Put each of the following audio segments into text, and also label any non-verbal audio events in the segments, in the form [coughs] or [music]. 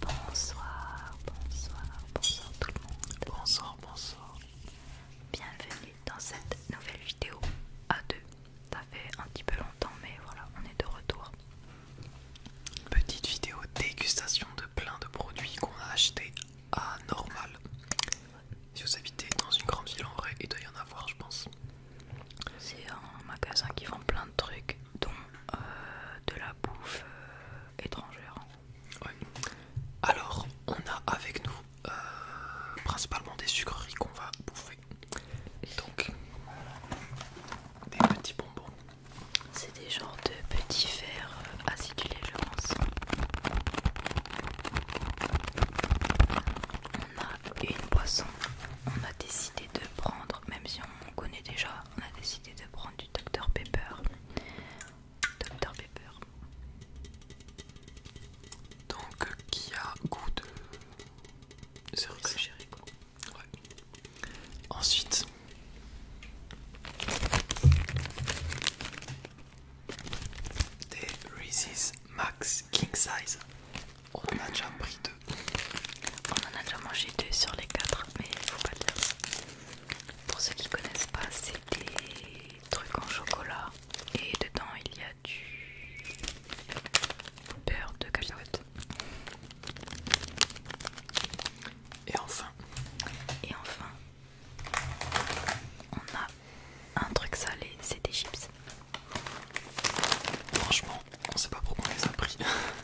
Bonsoir, bonsoir, bonsoir tout le monde. Bonsoir, bonsoir. Bienvenue dans cette nouvelle vidéo à 2 Ça fait un petit peu longtemps, mais voilà, on est de retour. Petite vidéo dégustation de plein de produits qu'on a achetés à normal. Si vous habitez dans une grande ville en vrai, il doit y en avoir, je pense. C'est un magasin qui vend plein de trucs, dont euh, de la bouffe euh, étrangère. Alors, on a avec nous euh, principalement des sucreries qu'on va bouffer. Donc, des petits bonbons. C'est des genres de petits fers acidulés, je pense. On a une boisson. On a décidé de prendre, même si on connaît déjà, on a décidé de prendre du Dr Pepper. Dr Pepper. Donc euh, qui a goût de cerise Ouais. Ensuite des Reese's Max King Size. On match a déjà pris deux. On en a déjà mangé deux sur les quatre, mais il faut pas le dire Pour ceux qui ne connaissent pas, c'est des trucs en chocolat et dedans il y a du beurre de cacahuète. Et enfin, et enfin, on a un truc salé, c'est des chips. Franchement, on sait pas pourquoi on les a pris.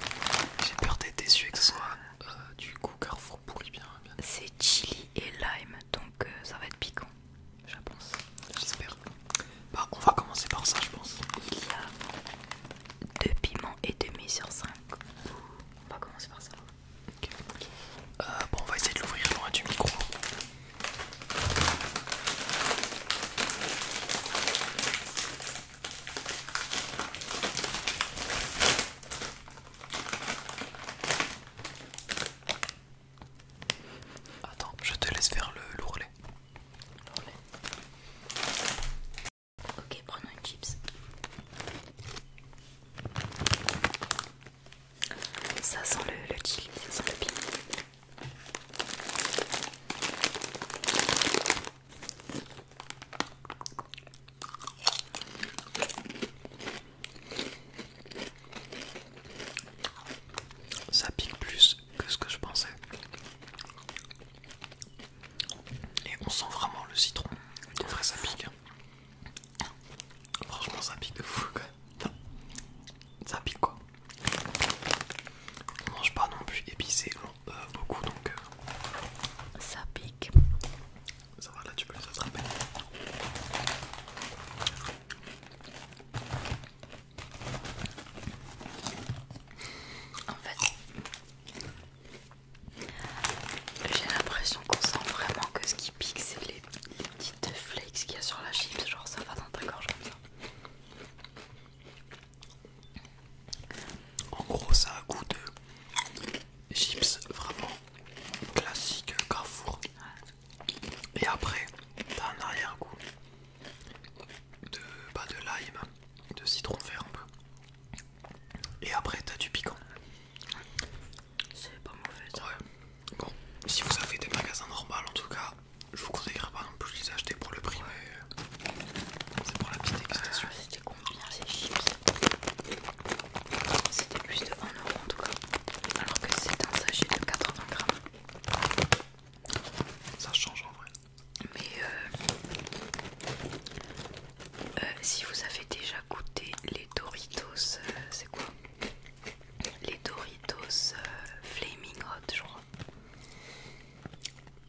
[laughs] J'ai peur d'être déçu avec que ce soit euh, du coup Carrefour pourri bien. C'est chili et lime, donc euh, ça va être piquant, je pense. J'espère. Bah, on va commencer par ça, je pense. Il y a deux piments et demi sur 5. On va commencer par ça. Euh, bon, on va essayer de l'ouvrir loin du micro. Attends, je te laisse faire l'ourlet. L'ourlet. Ok, prenons une chips. Ça sent le, le chili, ça sent le piment. Ça pique plus que ce que je pensais. Et on sent vraiment le citron. En vrai, ça pique. Franchement, ça pique de fou Ça pique quoi. On mange pas non plus épicé, euh, beaucoup donc euh, ça pique. Ça va, là tu peux les attraper. En fait, j'ai l'impression qu'on sent vraiment que ce qui pique, c'est les, les petites flakes qu'il y a sur la chips. Genre, ça va dans ta gorge comme ça. En gros, ça a un goût de chips vraiment classique Carrefour. Et après, t'as un arrière-goût de, bah, de lime, de citron vert un peu. Et après, t'as du piquant. C'est pas mauvais ça. Bon, si vous avez des magasins normaux en tout cas, je vous conseillerais pas non hein. plus de les acheter pour le prix, mais c'est pour la petite dégustation. Euh, c'était combien ces chips C'était plus de 1€ en tout cas, alors que c'est un sachet de 80 grammes. Ça change en vrai. Mais euh, euh, si vous avez déjà goûté les Doritos, c'est quoi Les Doritos Flaming Hot, je crois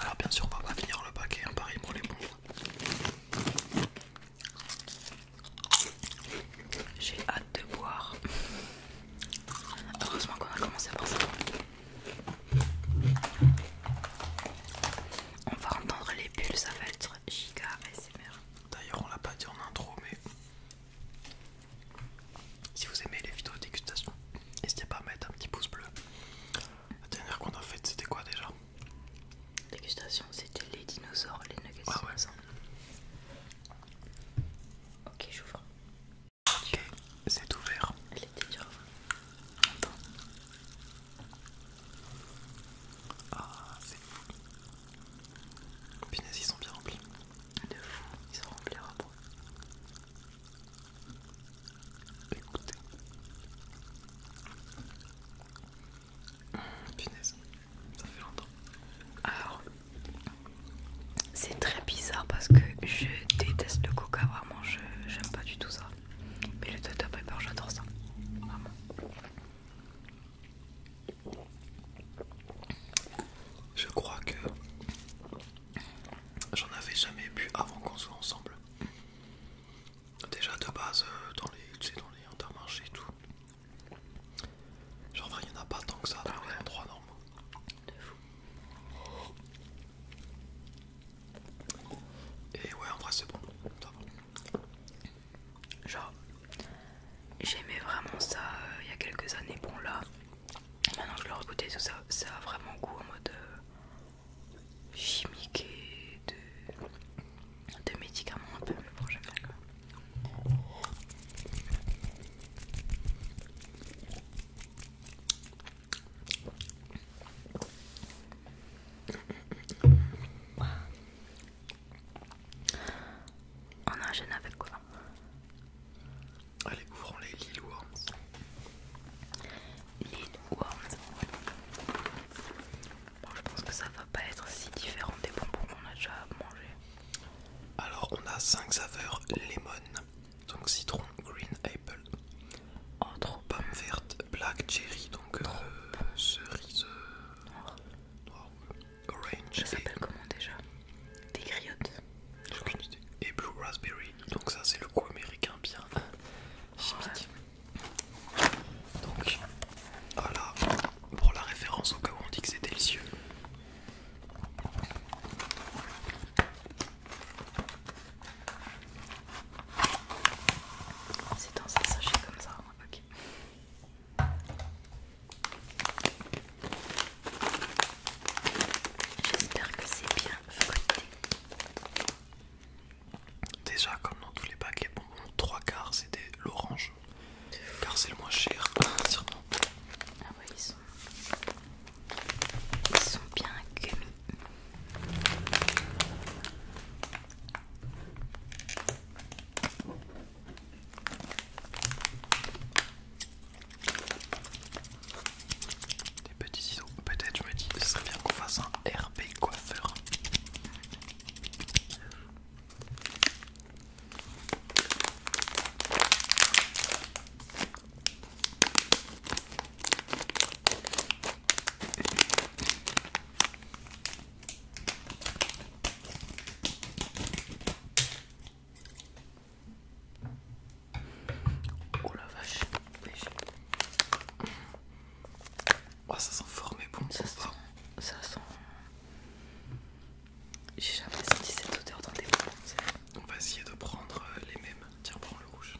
alors bien sûr on va finir le paquet, en pareil pour les mondes. J'ai hâte de boire. Heureusement qu'on a commencé à par ça. On va entendre les bulles, ça va être giga ASMR. D'ailleurs on l'a pas dit en intro mais si vous aimez les vidéos de dégustation, n'hésitez pas à mettre un petit pouce bleu. La dernière qu'on a faite, c'était quoi déjà Dégustation, c'était les dinosaures, les nuggets. Ah Ok, j'ouvre. Ok, c'est ouvert. Elle était Ah, c'est fou. Punaise, ils sont bien remplis de fou, ils sont remplira pour Écoutez. Mmh, punaise, ça fait longtemps. Alors, c'est très bizarre parce que je déteste le coca, vraiment, je j'aime pas du tout ça. Mais le Dr Paper, j'adore ça, vraiment. Je crois que j'en avais jamais bu avant qu'on soit ensemble. Déjà de base euh, dans les, dans les intermarchés et tout. Genre il n'y en a pas tant que ça dans les endroits normaux. De fou. Et ouais en vrai c'est bon. Genre J'aimais vraiment ça euh, il y a quelques années. Bon, là, maintenant que je l'ai tout ça, ça a vraiment goût en mode euh, chimique et de, de médicaments un peu. bon, on a un gêne avec quoi Allez, ouvrons les Lil Worms. Lil Worms. Bon, je pense que ça va pas être si différent des bonbons qu'on a déjà mangé. Alors, on a 5 saveurs lemon, donc citron, green apple, oh, pomme verte, black cherry, donc euh, cerise euh, Noir, Orange. Ça s'appelle comment déjà Des griottes. Et Blue Raspberry. Donc, ça, c'est le coup américain bien euh, chimique. Donc, voilà pour la référence au cas où on dit que c'est délicieux. C'est dans un sachet comme ça, hein, ok. J'espère que c'est bien fruité. Déjà, comme dans tous les paquets Les bonbons, 3 quarts c'était l'orange. Car c'est le moins cher, [laughs] sûrement. Ah ouais, ils sont. Ils sont bien gummy. Des petits ciseaux. Peut-être je me dis, ce serait bien qu'on fasse un RP coiffeur. Oh la vache, oh, ça sent fort, mais bon, ça sent. Ça sent... J'ai jamais senti cette odeur dans des bonbons. On va essayer de prendre euh, les mêmes. Tiens, prends le rouge.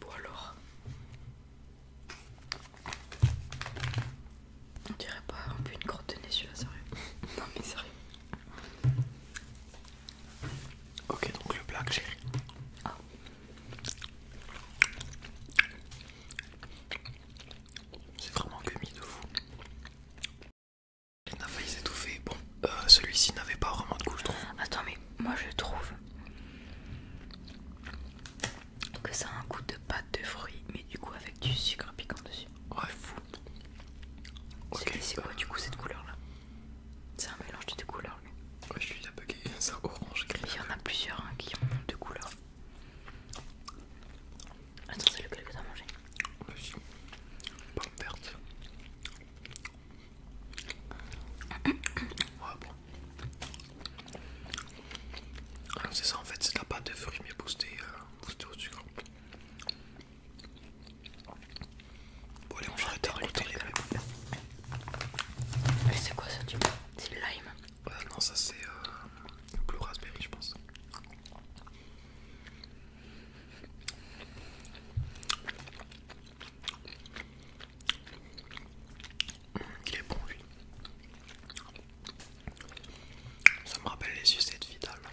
Bon alors, on dirait pas un peu une grotte de nez celui-là, sérieux. [laughs] non mais sérieux. Ok, donc le black cherry. Ah C'est vraiment gummi de fou. Il a failli s'étouffer. Bon, euh, celui-ci n'avait pas vraiment de couche je Attends, mais moi je trouve donc ça a un goût de pâte de fruits, mais du coup avec du sucre piquant dessus. Ouais, fou. c'est quoi du coup cette couleur là C'est un mélange de deux couleurs. Lui. Ouais, je suis là paquet [laughs] c'est orange gris. Il y en a plusieurs hein, qui ont deux couleurs. Attends, c'est lequel que t'as mangé vas pomme verte. [coughs] ouais, bon. Ah c'est ça en fait, c'est la pâte de fruits mais boostée, euh, au sucre. Bon allez on va arrêter les mêmes. Mais c'est quoi ça du lime euh, Non ça c'est euh, blue raspberry je pense. Il est bon lui. Ça me rappelle les sucettes vitales. Un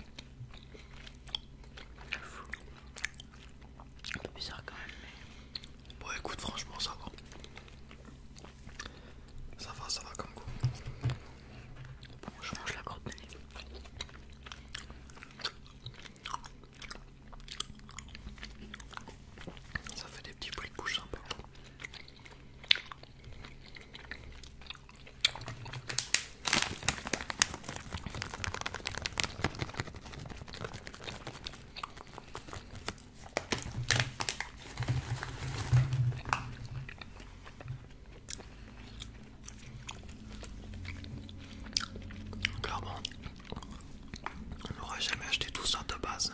peu bizarre quand même Bon écoute franchement ça va. Ça va, ça va comme quoi. Bon je mange la corde. Ça fait des petits bruits de bouche sympas. bon, on n'aurait jamais acheté tout ça de base.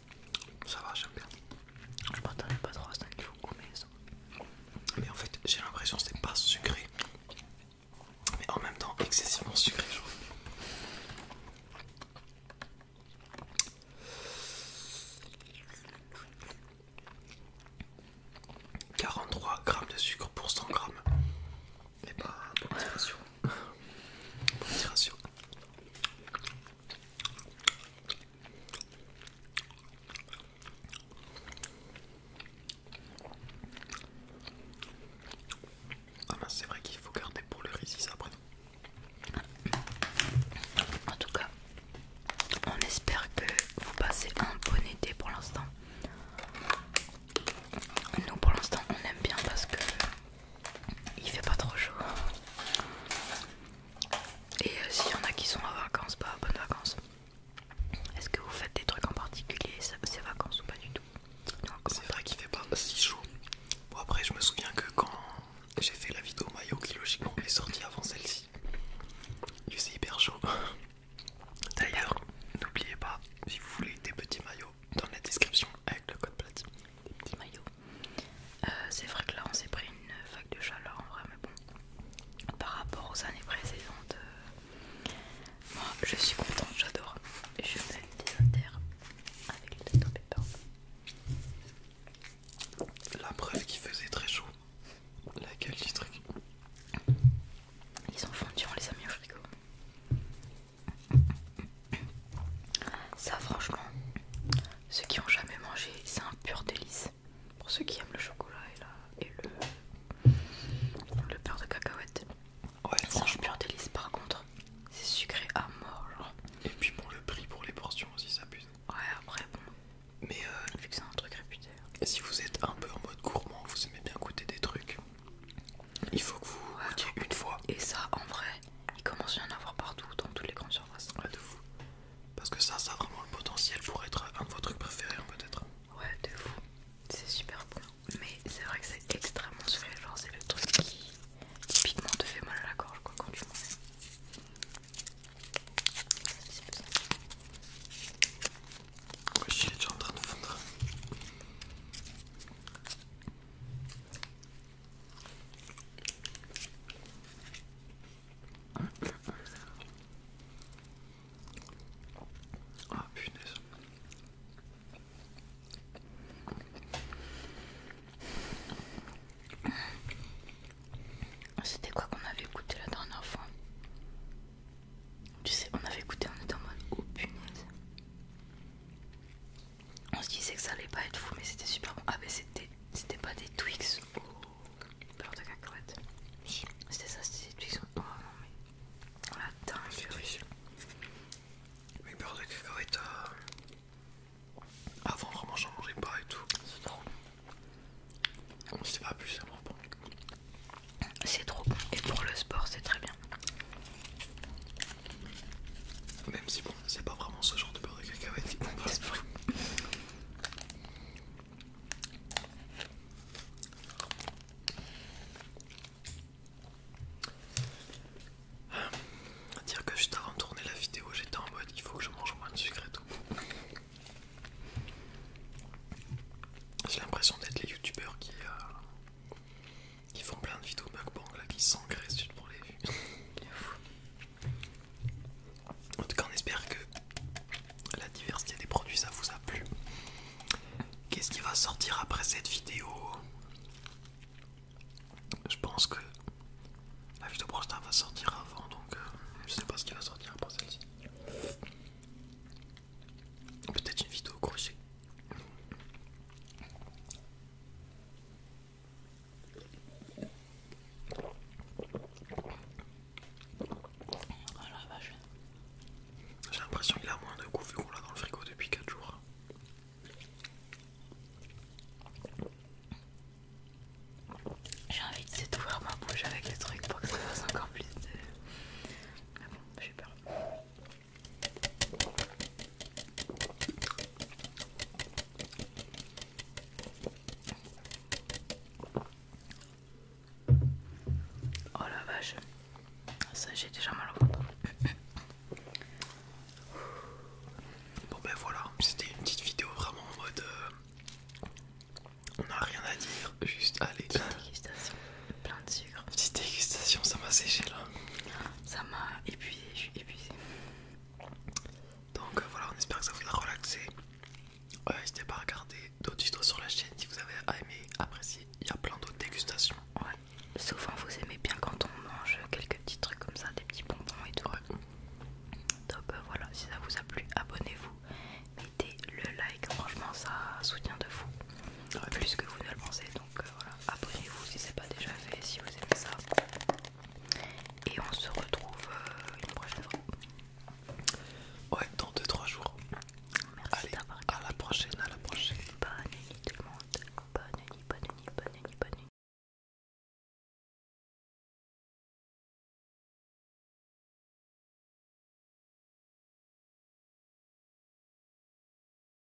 Ça va, j'aime bien. Je m'attendais pas trop à ce faut ça Mais en fait, j'ai l'impression que c'est pas sucré. Mais en même temps, excessivement sucré, je trouve. grammes de sucre pour 100 grammes. Et pas bah, bon petit [laughs] Ah bah c'est vrai qu'il faut garder pour le résis après. En tout cas, on espère que vous passez un bon été pour l'instant. Nous, pour l'instant, on aime bien parce que il fait pas trop chaud. Et euh, s'il y en a qui sont en vacances, bah bonnes vacances. Est-ce que vous faites des trucs en particulier ces vacances ou pas du tout C'est vrai qu'il fait pas si chaud. Bon après je me souviens que quand j'ai fait la vidéo maillot qui logiquement est sortie avant celle-ci, il faisait hyper chaud. D'ailleurs, n'oubliez pas, si vous voulez des petits maillots dans la description avec le code platine. Les petits maillots. Euh, c'est vrai que là on s'est pris une vague de chaleur en vrai, mais bon, par rapport aux années précédentes, euh, moi je suis contente, j'adore. Je fais des inter avec le top La preuve qui faisait très chaud, la gueule du truc. Ils ont fondu, on les a mis au frigo. Ça, franchement, ceux qui ont jamais mangé, c'est un pur délice. Pour ceux qui aiment le chocolat et, le, le beurre de cacahuète, ouais, c'est un pur délice. Par contre, c'est sucré à mort. Et puis bon, le prix pour les portions aussi, ça pue. Ouais, après, bon. Mais euh, vu que c'est un truc réputé. Si vous êtes un peu en mode gourmand, vous aimez bien goûter des trucs, il faut que vous goûtiez une fois. Et ça, en vrai, il commence à y en avoir partout, dans toutes les grandes surfaces. Ouais, de fou. Parce que ça, ça a vraiment le potentiel pour être un de vos trucs préférés, hein, peut-être. Ouais, de fou. C'est super bon. Mais c'est vrai que c'est extrêmement sourire Genre, c'est le truc qui typiquement te fait mal à la gorge quoi, quand tu manges. Ouais, je est déjà en train de fondre. Ah C'était quoi qu'on avait écouté la dernière fois Tu sais, on avait écouté, on était en mode oh, punaise on se disait que ça allait pas être fou mais c'était super bon ah mais c'était pas des Twix ou beurre de cacahuète c'était ça c'était des Twix oh non mais la dingue mais beurre de cacahuète euh, avant vraiment j'en mangeais pas et tout c'est trop bon on pas plus c'est bon c'est trop bon et pour le sport c'est très bien même si bon, c'est pas vraiment ce genre de beurre de cacahuète c'est Dire que juste avant de tourner la vidéo, j'étais en mode il faut que je mange moins de sucre et tout. J'ai l'impression d'être les youtubeurs qui, euh, qui font plein de vidéos Macbook, là qui s'engraissent juste pour les vues. [laughs] en tout cas, on espère que la diversité des produits ça vous a plu. Qu'est-ce qui va sortir après cette vidéo Je pense que la vidéo prochaine va sortir avant donc je euh, je sais pas ce qui va sortir après celle-ci. Peut-être une vidéo crochet. Oh j'ai l'impression qu'il a moins de goût vu qu'on l'a dans le frigo depuis 4 jours. J'ai envie de d'ouvrir ma bouche avec les trucs pour que ça fasse encore plus de. Mais bon, j'ai peur. Oh la vache, ça j'ai déjà mal au ventre. Bon ben voilà, c'était une petite vidéo vraiment en mode euh, on n'a rien à dire, juste allez. Petite dégustation, ça m'a séché là. Ça m'a épuisé, je suis épuisée. Donc euh, voilà, on espère que ça vous a relaxé. N'hésitez pas à regarder d'autres vidéos sur la chaîne si vous avez aimé, apprécié. Il y a plein d'autres dégustations. Souvent vous aimez bien quand on mange quelques petits trucs comme ça, des petits bonbons et tout. Donc euh, voilà, si ça vous a plu, abonnez-vous, mettez le like, franchement ça soutient de fou. Plus que vous ne le pensez. Donc euh, voilà, abonnez-vous si c'est pas déjà fait, si vous aimez ça. Et on se retrouve euh, une prochaine fois. Ouais, dans 2-3 jours. Merci Allez, à la prochaine, à la prochaine. Bonne nuit tout le monde. Bonne nuit, bonne nuit, bonne nuit, bonne nuit.